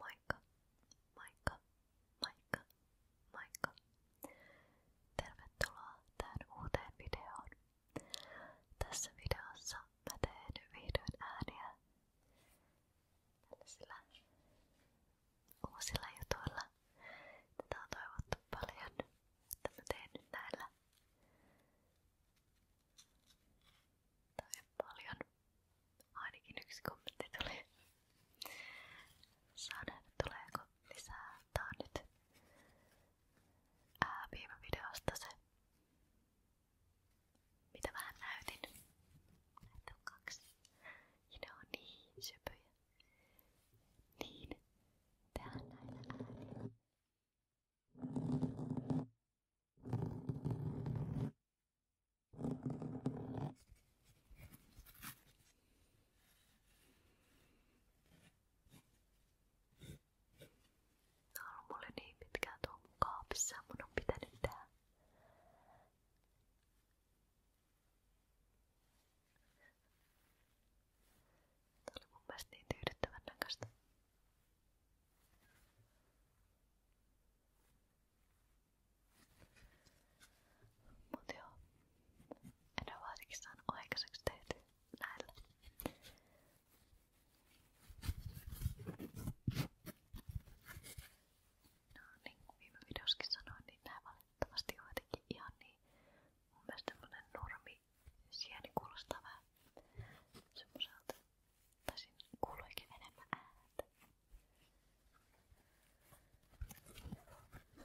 Moikka, moikka, moikka, moikka. Tervetuloa tähän uuteen videoon. Tässä videossa mä teen vihdoin ääniä tällaisilla uusilla jutuilla. Tätä on toivottu paljon, että mä teen nyt näillä. Tai paljon. Ainakin yksi kommentti tuli. Saa nähdä tuleeko lisää. Tää on nyt ää, viime videosta se, mitä vähän näytin. Näitä on kaksi. Ja ne on niin sypyjä. Niin. Tehdään näillä äänillä. Tää on ollut mulle niin pitkään tuo mun kaapissa, mun on pitänyt tehdä Tää oli mun mielestä niin tyydyttävän näköistä. Mut joo, en ole varsinkin saanut aikaiseksi tehty näillä. No niin kuin viime videossakin sanoin, niin nämä valitettavasti on jotenkin ihan niin mun mielestä tämmönen normi sieni kuulostaa vähän semmoselta Tosin kuuluikin enemmän ääntä. Mä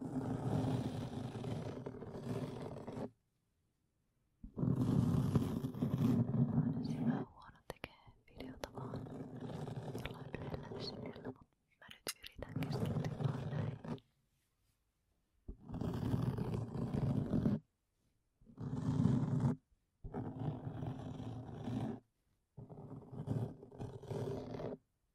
Olisi vähän huono tekee videota vaan jollain yhdellä syydellä, mutta mä nyt yritän keskittyä vaan näihin. Mä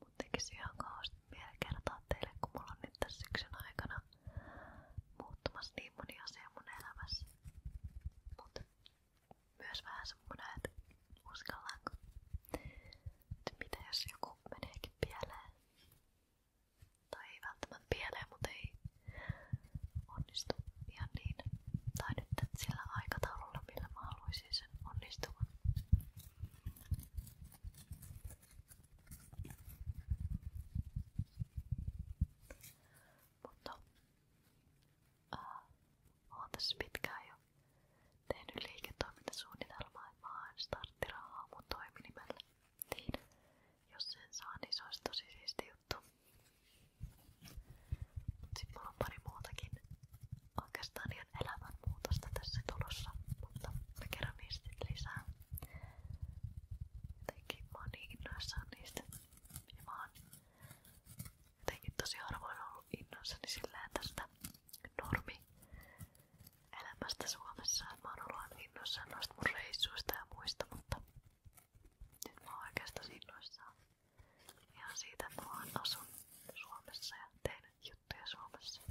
Mun tekisi ihan kauheasti vielä kertoa teille, kun mulla on nyt tässä syksyn aikana muuttumassa niin moni asia mun elämässä. Mut myös vähän semmonen, että uskallanko. Että mitä jos joku meneekin pieleen? Tai ei välttämättä pieleen, mutta ei onnistu ihan niin. Tai sillä aikataululla, millä mä haluaisin Mutta äh, olen tässä tehnyt liiketoimintasuunnitelmaa ja vaan starttirahaa mun toiminimellä. Niin, jos sen saa, niin se olisi tosi siisti juttu. Sitten mulla on pari muutakin oikeastaan ihan elämänmuutosta tässä tulossa, mutta mä kerron niistä lisää. Jotenkin mä oon niin innoissaan niistä. Ja mä oon Jotenkin tosi harvoin ollut innoissani silleen tästä normi elämästä Suomessa. Mä oon ollut aina innoissaan noista mun reissuista ja muista, mutta nyt mä oon oikeastaan innoissaan ihan siitä, että mä vaan asun Suomessa ja teen juttuja Suomessa.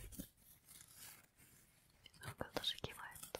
Se on kyllä tosi kiva juttu.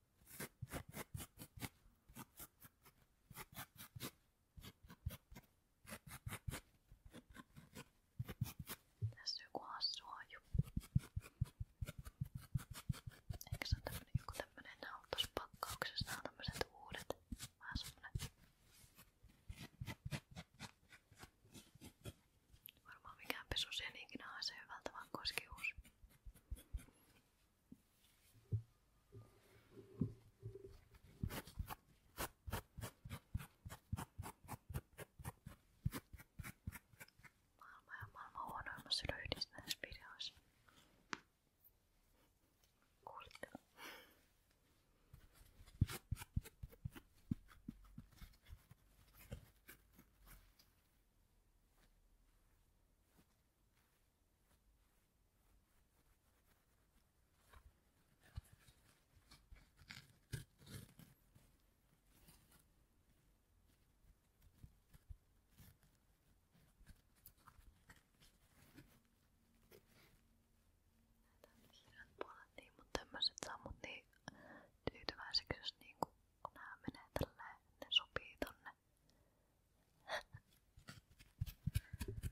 Tässä jokuhan suoju. Eikö se ole tämmönen joku tämmönen nautas pakkauksessa? Nämä on tämmöset uudet. Vähän semmonen. Varmaan mikään pesusia ei ikinä haise hyvältä, vaan koskius. Maailma ja maailman huonoimmassa löydis näissä videoissa. Kuulitte? Näitä kiireet puolet niin, mutta tämmöiset saa mut niin tyytyväiseksi, jos niinku nää menee tälleen, ne sopii tonne. Teekö tätä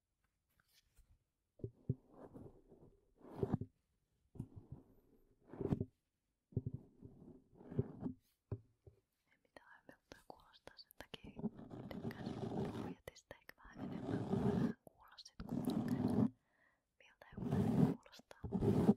mitään aiemmin kuulostaa sen takia tykkään puhjetista ehkä vähän enemmän kuin vähän kuulla sit kuitenkin miltä joku kuulostaa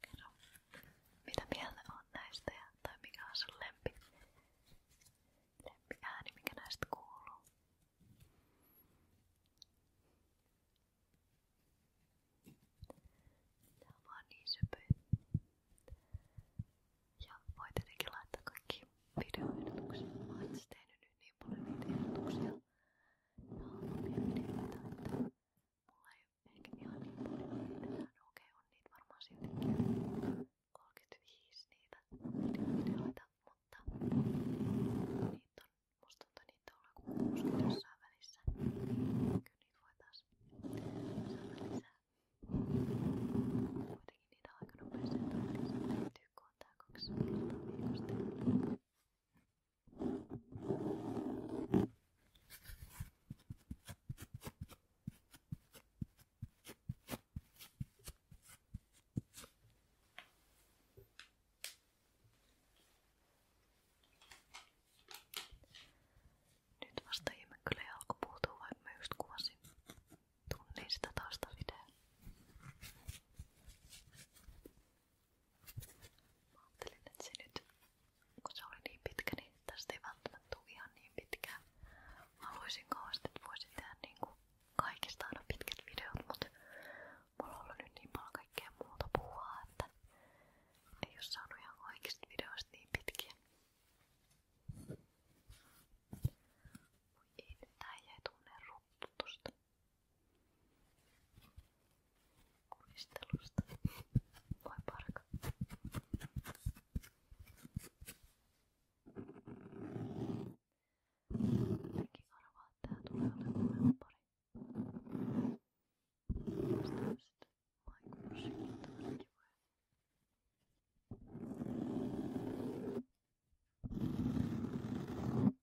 Kerro, mitä mieltä on näistä ja, tai mikä on sun lempi, lempi ääni, mikä näistä kuuluu? Tää on vaan niin söpöä. Ja voi tietenkin laittaa kaikki videoehdotuksia. Mä oon tehnyt nyt niin paljon niitä ehdotuksia ja miettimätöntä. Mulla ei ehkä ihan niin paljon niitä nähdä. Okei, on niitä varmaan siltikin 35 niitä videoita, mutta niitä on, musta tuntuu niitä on ollut 60 jossain välissä. Kyllä niitä voi taas saada lisää. Kuitenkin niitä on aika nopeasti, että on tehty, kun on tää 200 viikosta. Nyt vasta ihme kyllä jalko puutuu, vaikka mä just kuvasin tunnin sitä taustavideoa. Mä ajattelin, että se nyt, kun se oli niin pitkä, niin tästä ei välttämättä tule ihan niin pitkään. Mä haluaisin kauheasti, että voisin tehdä niinku kaikista aina pitkät videot, mutta mulla on ollut nyt niin paljon kaikkea muuta puhua, että ei oo saanut ihan kaikista videoista niin pitkiä. Voi ei, nyt tää jäi tunne rupputusta. Kuistelusta. Voi parka. Mäkin arvaan, että tää tulee olemaan pari. Tästä on sitten maikuusikin tämmönen kivoja. Thank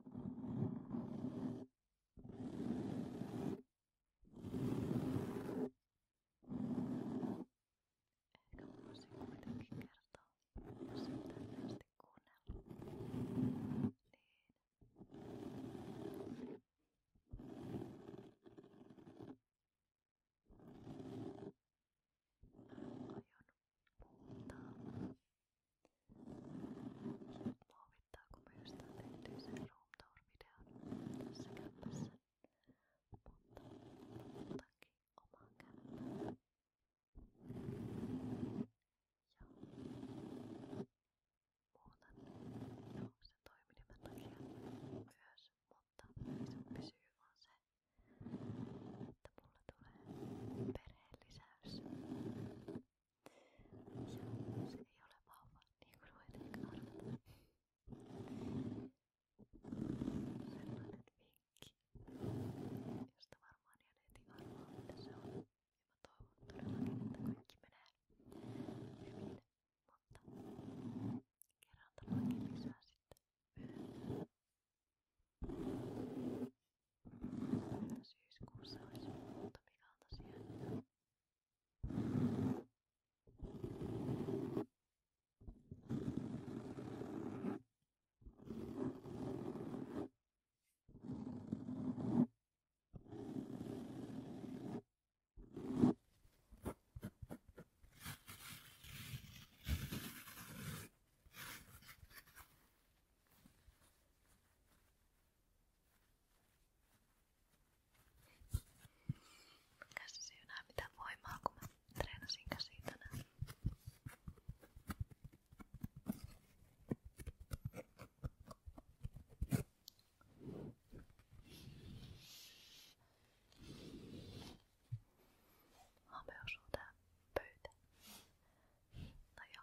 Ehkä voisin kuitenkin kertoa, jos et tällaisesti kuunnella. Niin. Aion mutta luovittaako myös tämän erityisen Room Tour-videon tässä kämpässä, mutta otankin omaan kämpään. Ja muutan jo sen toiminimen takia myös, mutta isompi syy on se, että mulla tulee perheen lisäys. Ja se ei ole vahva, niin kuin voit ehkä arvata. Sellainen vinkki, josta varmaan jääneet arvaa, mitä se on. Ja mä toivon todellakin, että kaikki menee hyvin, mutta kerran lisää sitten myöhemmin. Mutta syyskuussa olisi muutamia kaltaisia. Käsi syynää mitään voimaa, kun mä treenasin käsiä tänään. Hame osuu tää pöytä. Tai no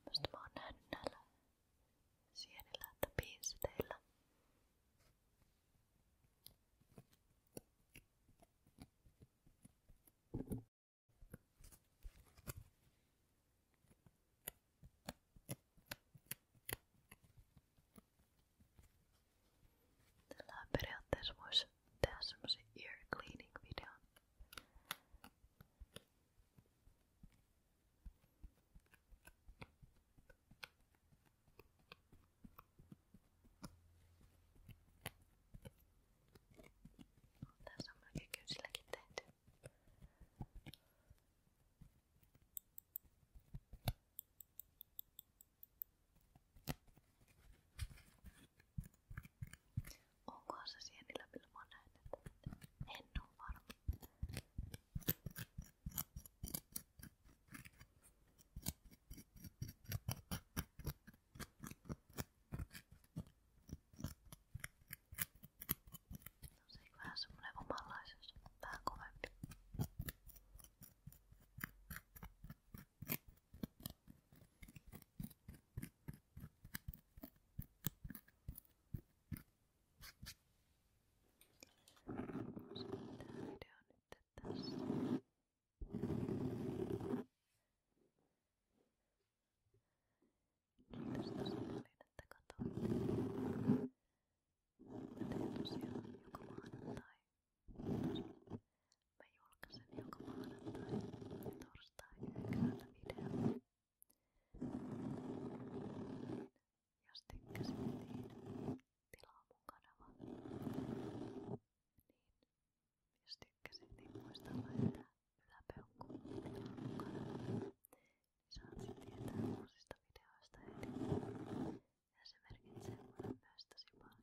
tämmöistä mä oon nähnyt näillä sienillä, että piinsiteillä. Tällä ear cleaning video. Tässä on melkein kynsilläkin tehty. Onkohan se sienillä, millä mä näen, että en oo varma. No se on vähän semmonen omanlaisensa, vähän kovempi. Tämä video on nyt tässä. Kiitos tosi paljon, että katsoitte. Mä teen tosiaan joka maanantai. Mä julkaisen joka maanantai ja torstai yhdeksältä videon. Jos tykkäsit, niin tilaa mun kanava. Niin, jos tykkäsit, niin muista laittaa yläpeukku tilaa mun kanava. Niin saat sen tietää uusista videoista heti. Ja se merkitsee mulle myös tosi paljon.